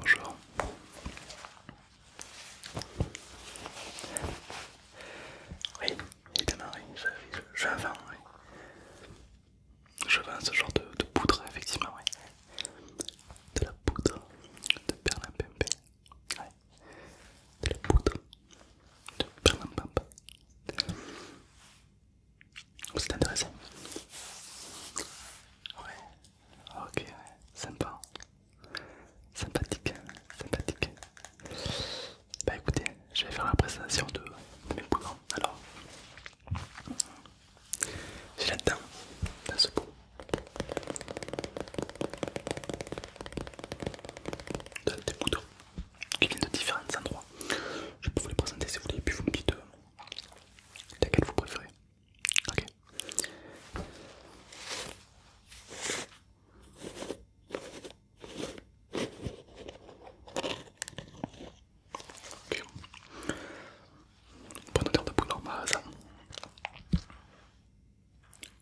Bonjour. Oui, évidemment, oui, je, vais je vends, oui. Je vends ce genre de, poudre, effectivement, oui. De la poudre de Berlin Ouais. De la poudre de perlimpinpin. Vous êtes intéressé Ouais, ok, sympa, sympathique, sympathique. Bah écoutez, je vais faire la présentation de, mes boulons. Alors, j'ai là dans ce des qui viennent de différents endroits. Je peux vous les présenter si vous voulez, puis vous me dites. Euh, que vous préférez Ok. Ok. Bonne odeur de boule en bas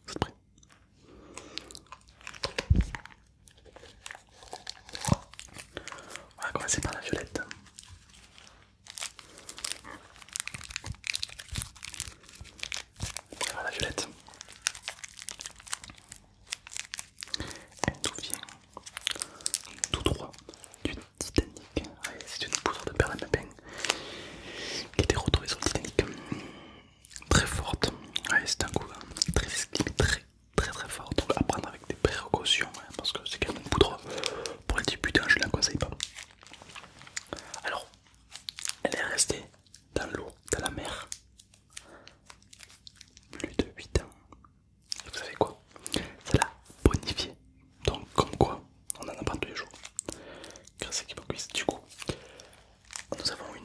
c'est prêt on va commencer par la violette. On va la violette. Et d'où vient tout droit du Titanic. Ah, c'est une poudre de perle peine qui était retrouvée sur le Titanic. Très forte. Ah, c'est un coup hein, Très, très, très très très fort. Donc à prendre avec des précautions hein, parce que c'est quand même une poudre pour les débutants, je ne la conseille pas. Alors, elle est restée dans l'eau, dans la mer, plus de 8 ans. Et vous savez quoi Ça l'a bonifiée. Donc comme quoi, on en apprend tous les jours. Grâce à Kibokuis. Du coup, nous avons une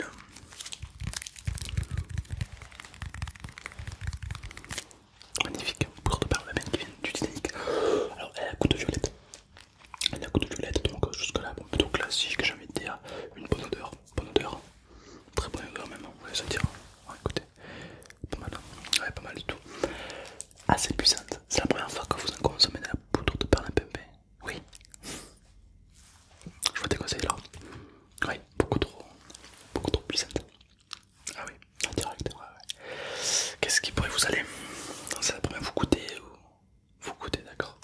magnifique poudre de perlemaine qui vient du dynamique. Alors elle a un de violette, elle a un de violette, donc euh, jusque là plutôt classique, j'ai envie de dire une bonne odeur, bonne odeur, très bonne odeur même, hein, on va se dire, ah, pas mal, hein. ouais pas mal du tout, assez ah, puissante, c'est la première fois que vous en consommez de la poudre de perlimpinpin, oui, je vous déconseille là, oui, beaucoup trop, beaucoup trop puissante. Ah oui, en direct, Qu'est-ce qui pourrait vous aller ça pourrait vous coûter ou... Vous goûtez, d'accord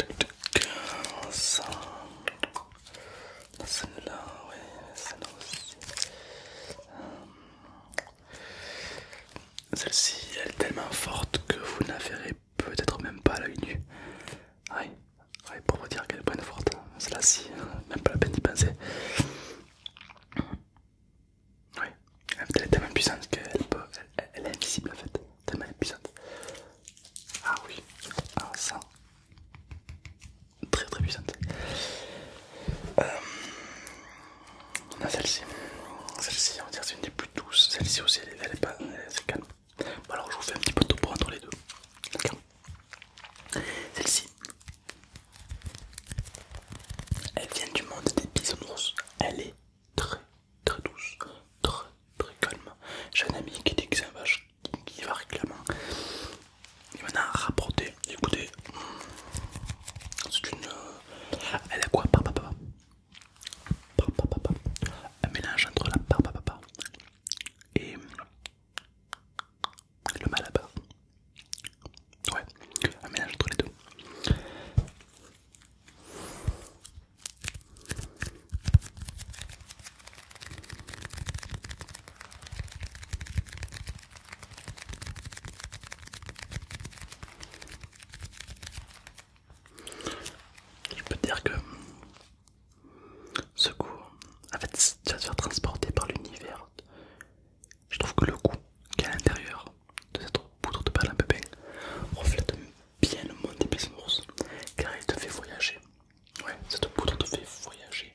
euh, celle ci elle est tellement forte que vous ne peut-être même pas à l'œil nu oui, pour vous dire qu'elle est une forte, hein. celle-ci, euh, même pas la peine d'y penser. Oui, elle est tellement puissante qu'elle elle, est invisible en fait, tellement elle puissante. Ah oui, ah ça, très très puissante. Euh, on a celle-ci, celle-ci on va dire c'est une des plus douces, celle-ci aussi elle, est pas, elle, est calme bon Alors je vous fais un petit peu de topo entre les deux. D'accord Celle-ci, elle vient du monde des bisounours. Elle est très très douce, très très calme. J'ai un ami qui dit que c'est un vache qui va réclamer. Il m'en a rapporté. Écoutez, c'est une. Euh, elle a quoi Par papa. papa. Un mélange entre la par papa et le mal là-bas. Ouais, un mélange entre les deux. Je peux dire que ce en fait, tu vas te faire transporter par l'univers. Je trouve que le goût qui est à l'intérieur de cette poudre de perles à reflète bien le monde des bisounours car elle te fait voyager. Ouais, cette poudre te fait voyager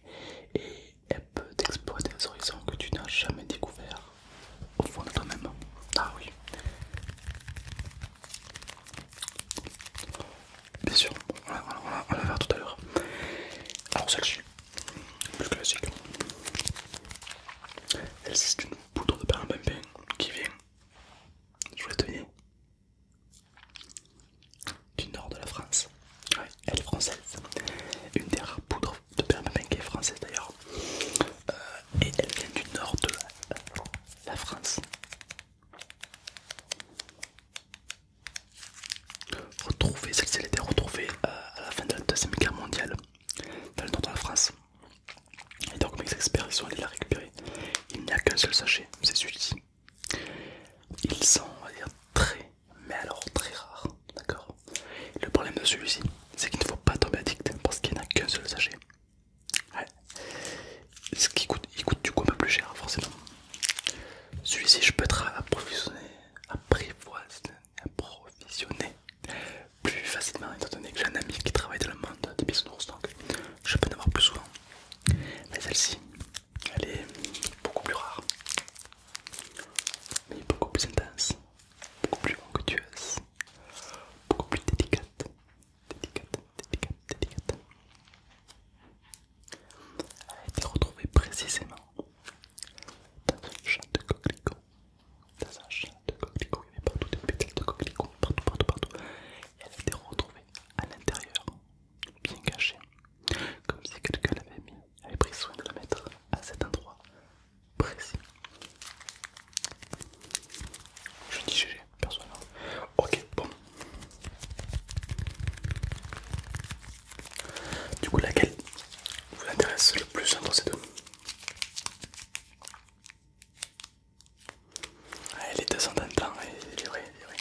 et elle peut t'explorer des horizons que tu n'as jamais découvert au fond de toi-même. Ah oui. Bien sûr, on la, on la, tout à l'heure. Alors celle-ci, plus classique. Celle-ci c'est une poudre de perlimpinpin qui vient, je vous du nord de la France. elle est française. Une des rares poudres de perlimpinpin qui est française d'ailleurs. Euh, et elle vient du nord de la France. Retrouvée, c'est ci était retrouvée euh, à la fin de la deuxième guerre mondiale dans le nord de la France. Et donc mes experts ils sont allés la récupérer. Il n'y a qu'un seul sachet, c'est celui-ci. Ils sont, on va dire, très, mais alors très rares, d'accord. Le problème de celui-ci, c'est qu'il ne faut pas tomber addict parce qu'il n'y a qu'un seul sachet. Ce qui coûte, du coup un peu plus cher, hein, forcément. Celui-ci, je peux être approvisionné, approvisionné plus facilement, étant donné que j'ai un ami qui travaille dans le monde des bisounours, donc je peux en avoir plus souvent. Mais celle-ci, elle est beaucoup plus rare, mais beaucoup plus intense, beaucoup plus onctueuse, beaucoup plus délicate, délicate, délicate, Elle a été retrouvée précisément dans un champ de coquelicot. Dans un champ de il y partout des pétales de coquelicot, partout, partout, partout. elle a été retrouvée à l'intérieur, bien cachée, comme si quelqu'un avait pris soin de la mettre à cet endroit précis. Je dis GG Ok, bon. Du coup, laquelle vous intéresse le plus entre ces deux Les deux sont en temps, il est vrai, hein, il est vrai.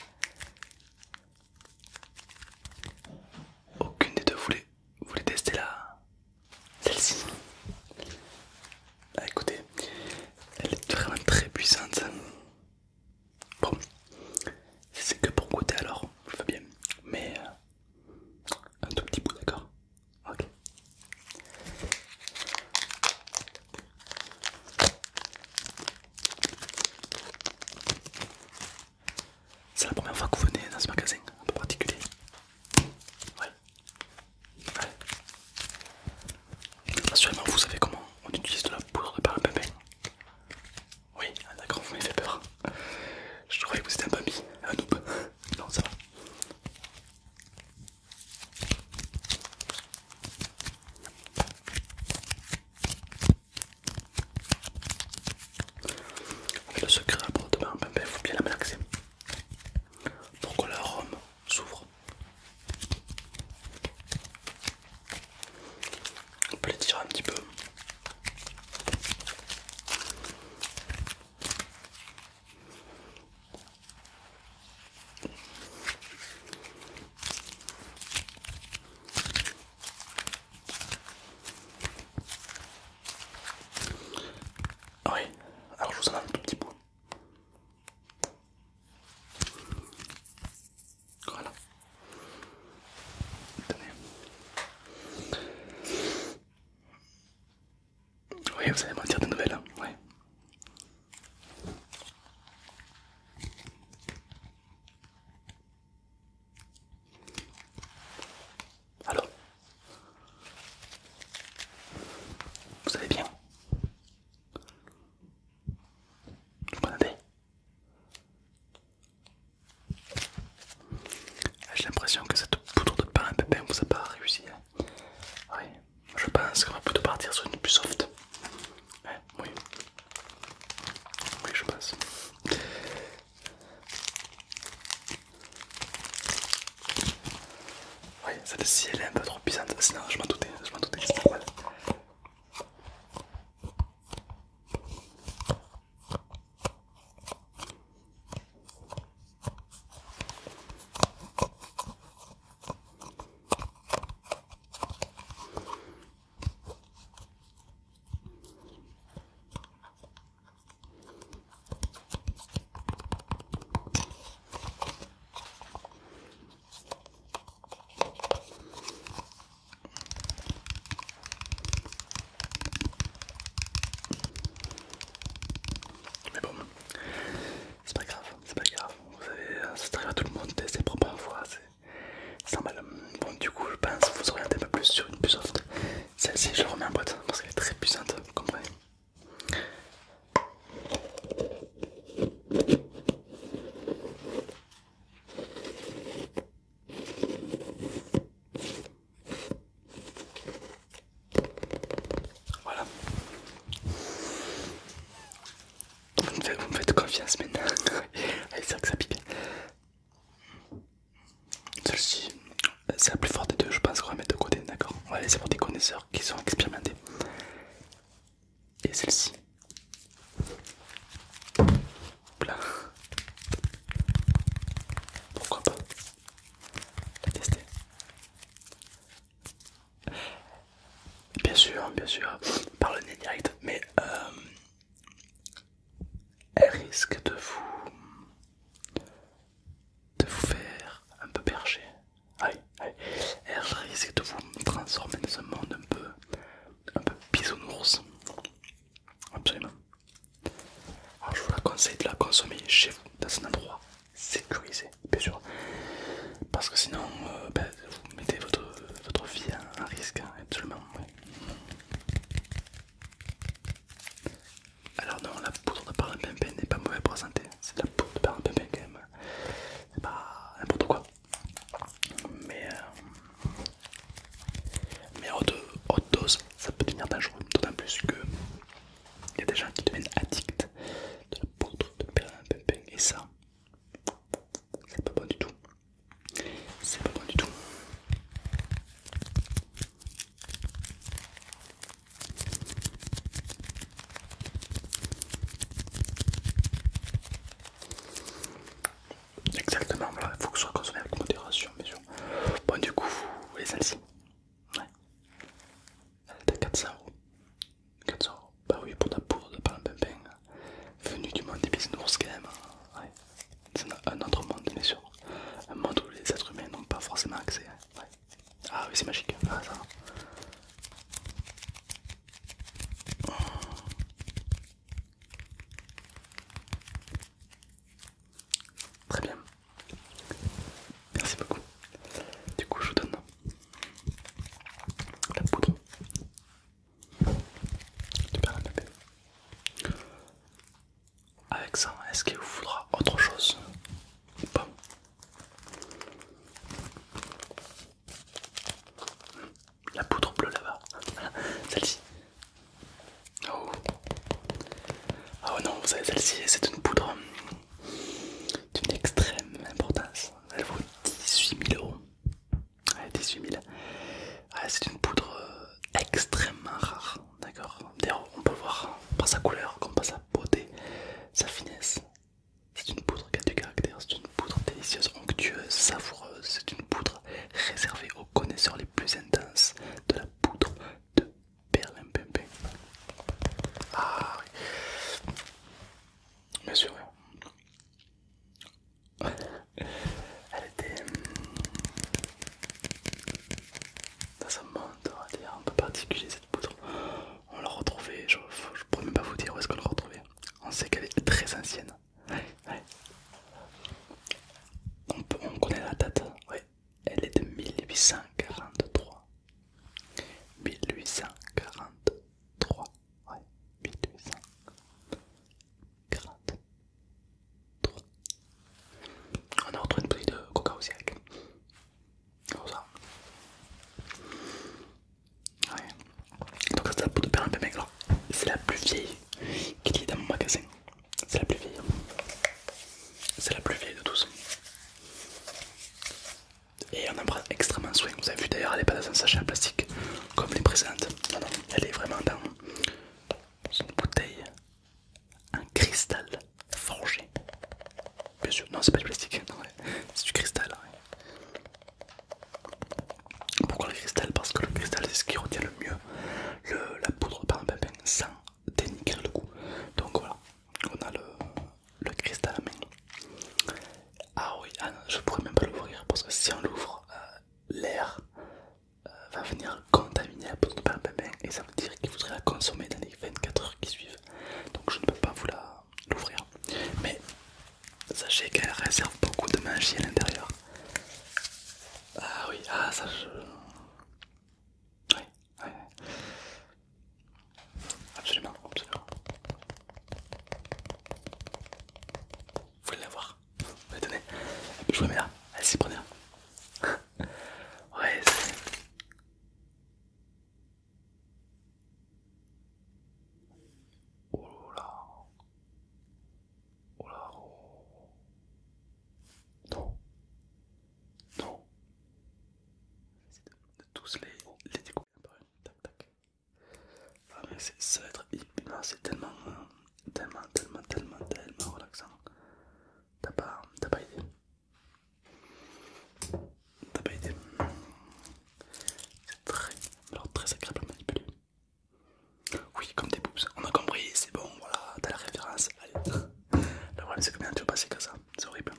Aucune des deux voulait, tester la... celle-ci. Ah, écoutez, elle est vraiment très puissante. Bon, si c'est que pour goûter alors, je bien, mais euh, un tout petit bout, d'accord Ok. C'est la première fois que vous venez dans ce magasin un peu particulier. Ouais. Allez. Bah, Assurément, vous savez comment on utilise de la poudre de parapapin. Oui, d'accord, vous m'avez fait peur. Je croyais que vous étiez un papy, un noob. Non, ça va. Mais le secret à poudre de pimpin, il faut bien la malaxer. Pour la l'arôme s'ouvre. On peut un petit peu. Oui, alors je vous en un tout petit bout. Voilà. Attendez. Oui, vous allez m'en dire de nouvelles, hein ouais. Alors, vous allez bien Vous prenez ah, J'ai l'impression que cette poudre de pain pépin vous a pas réussi. Hein. oui, je pense qu'on va plutôt partir sur une plus soft. oui hein, oui. Oui, je pense. Oui, celle-ci elle est un peu trop puissante, sinon je m'en doutais, je m'en doutais, mais bon, c'est pas grave, c'est pas grave. Vous savez, euh, ça arrive à tout le monde, c'est propres parfois, c'est mal Bon, du coup, je pense vous regardez un peu plus sur une puce soft. Celle-ci, je la remets en boîte parce qu'elle est très puissante, vous comprenez voilà. Vous me faites, confiance maintenant. c'est que ça pique. Celle-ci, c'est la plus forte des deux, je pense qu'on va mettre de côté, d'accord On va laisser pour des connaisseurs qui sont expérimentés. Et celle-ci. Pourquoi pas la tester Bien sûr, bien sûr, par le nez direct, mais euh, elle risque de vous de vous faire un peu berger. Allez, allez. Et risque de vous transformer dans un monde un peu, un peu bisounours. Absolument. Alors je vous la conseille de la consommer chez vous, dans un endroit sécurisé, bien sûr. Parce que sinon, euh, ben, vous mettez votre, vie en risque, hein, absolument. Alors non, la poudre de pimpin n'est pas mauvaise pour la santé. C'est de la poudre de perle pimpin quand même. C'est pas n'importe quoi. Mais, euh, mais haute, haute dose, ça peut devenir dangereux. D'autant plus que il y a des gens qui deviennent addicts de la poudre de pimpin Et ça, c'est pas bon du tout. C'est pas bon du tout. Exactement, il faut que ce soit consommé avec modération, bien Bon, du coup, vous voulez celle-ci Elle est à 400 euros. 400 euros. Bah oui, pour la poudre de palm pain Venue du monde des bisounours, quand même. C'est un autre monde, bien sûr. Un monde où les êtres humains n'ont pas forcément accès. Hein. Ah oui, c'est magique. Ah, ça. va Très bien. Merci beaucoup. Du coup, je vous donne la poudre. Super, perds avec ça, est-ce qu'il vous faudra autre chose ou pas hmm. La poudre bleue là-bas, celle-ci. Oh. Ah non, vous savez, celle-ci, c'est une poudre d'une extrême importance. Elle vaut 18 000 euros. Ouais, 18 000. c'est une poudre euh, extrêmement rare d'accord D'ailleurs, on peut le voir par sa couleur, comme par sa beauté, sa finesse. C'est une poudre qui a du caractère, c'est une poudre délicieuse, onctueuse, savoureuse. C'est une poudre réservée aux connaisseurs les plus intenses de la poudre de berlin Ah oui, bien sûr. Elle était. Hum, dans un monde un peu particulier cette poudre. On l'a retrouvée, je, pourrais même pas vous dire où est-ce qu'on l'a retrouvée. On sait qu'elle est très ancienne. On, peut, connaît la date, oui, elle est de 1843. 1843, ouais, 1843. On a retrouvé une bouteille de coca aussi avec. Donc ça c'est la peau de perle un peu C'est la plus vieille qu'il y dans mon magasin. C'est la plus vieille. C'est la plus vieille de tous. Et on en prend extrêmement soin. Vous avez vu d'ailleurs, elle n'est pas dans un sachet en plastique comme les présentes. Non, non, elle est vraiment dans une bouteille un cristal forgé. Bien sûr, non, c'est pas du plastique, c'est du cristal. Pourquoi le cristal Parce que le cristal, c'est ce qui retient le mieux la poudre par un sans dénigrer le goût. Donc voilà, on a le, cristal à main. Ah oui, ah je pourrais même pas l'ouvrir parce que si on l'ouvre, euh, l'air euh, va venir contaminer la peau de et ça veut dire qu'il faudrait la consommer dans les 24 heures qui suivent. Donc je ne peux pas vous la l'ouvrir. Mais sachez qu'elle réserve beaucoup de magie à l'intérieur. Ah oui, ah ça je... Oui, oui, Absolument, absolument. Vous voulez la voir vous la tenez Elle peut mais là, elle s'y prenait. Hein. ouais, c'est. Oh là Oh là oh. Non Non c'est de, tous les, les découverts. Tac tac. Ah mais ça va être... c'est tellement... Euh, tellement, tellement, tellement, tellement relaxant. T'as pas, t'as pas idée. T'as pas idée. C'est très, alors très agréable à manipuler. Oui, comme des boobs, on a compris, c'est bon, voilà, t'as la référence. Allez. Le problème, c'est combien tu veux passer comme ça, c'est horrible.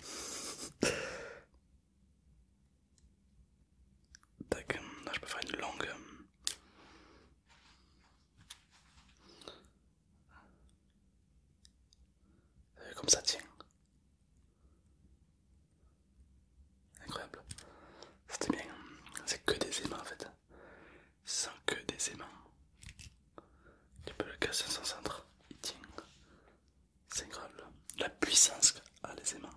Tac, là je peux faire une longue. Euh, euh, comme ça tient. Incroyable. C'était bien. C'est que des aimants en fait. Sans que des aimants. Tu peux le casser sans centre. Il tient. C'est incroyable. La puissance a les aimants.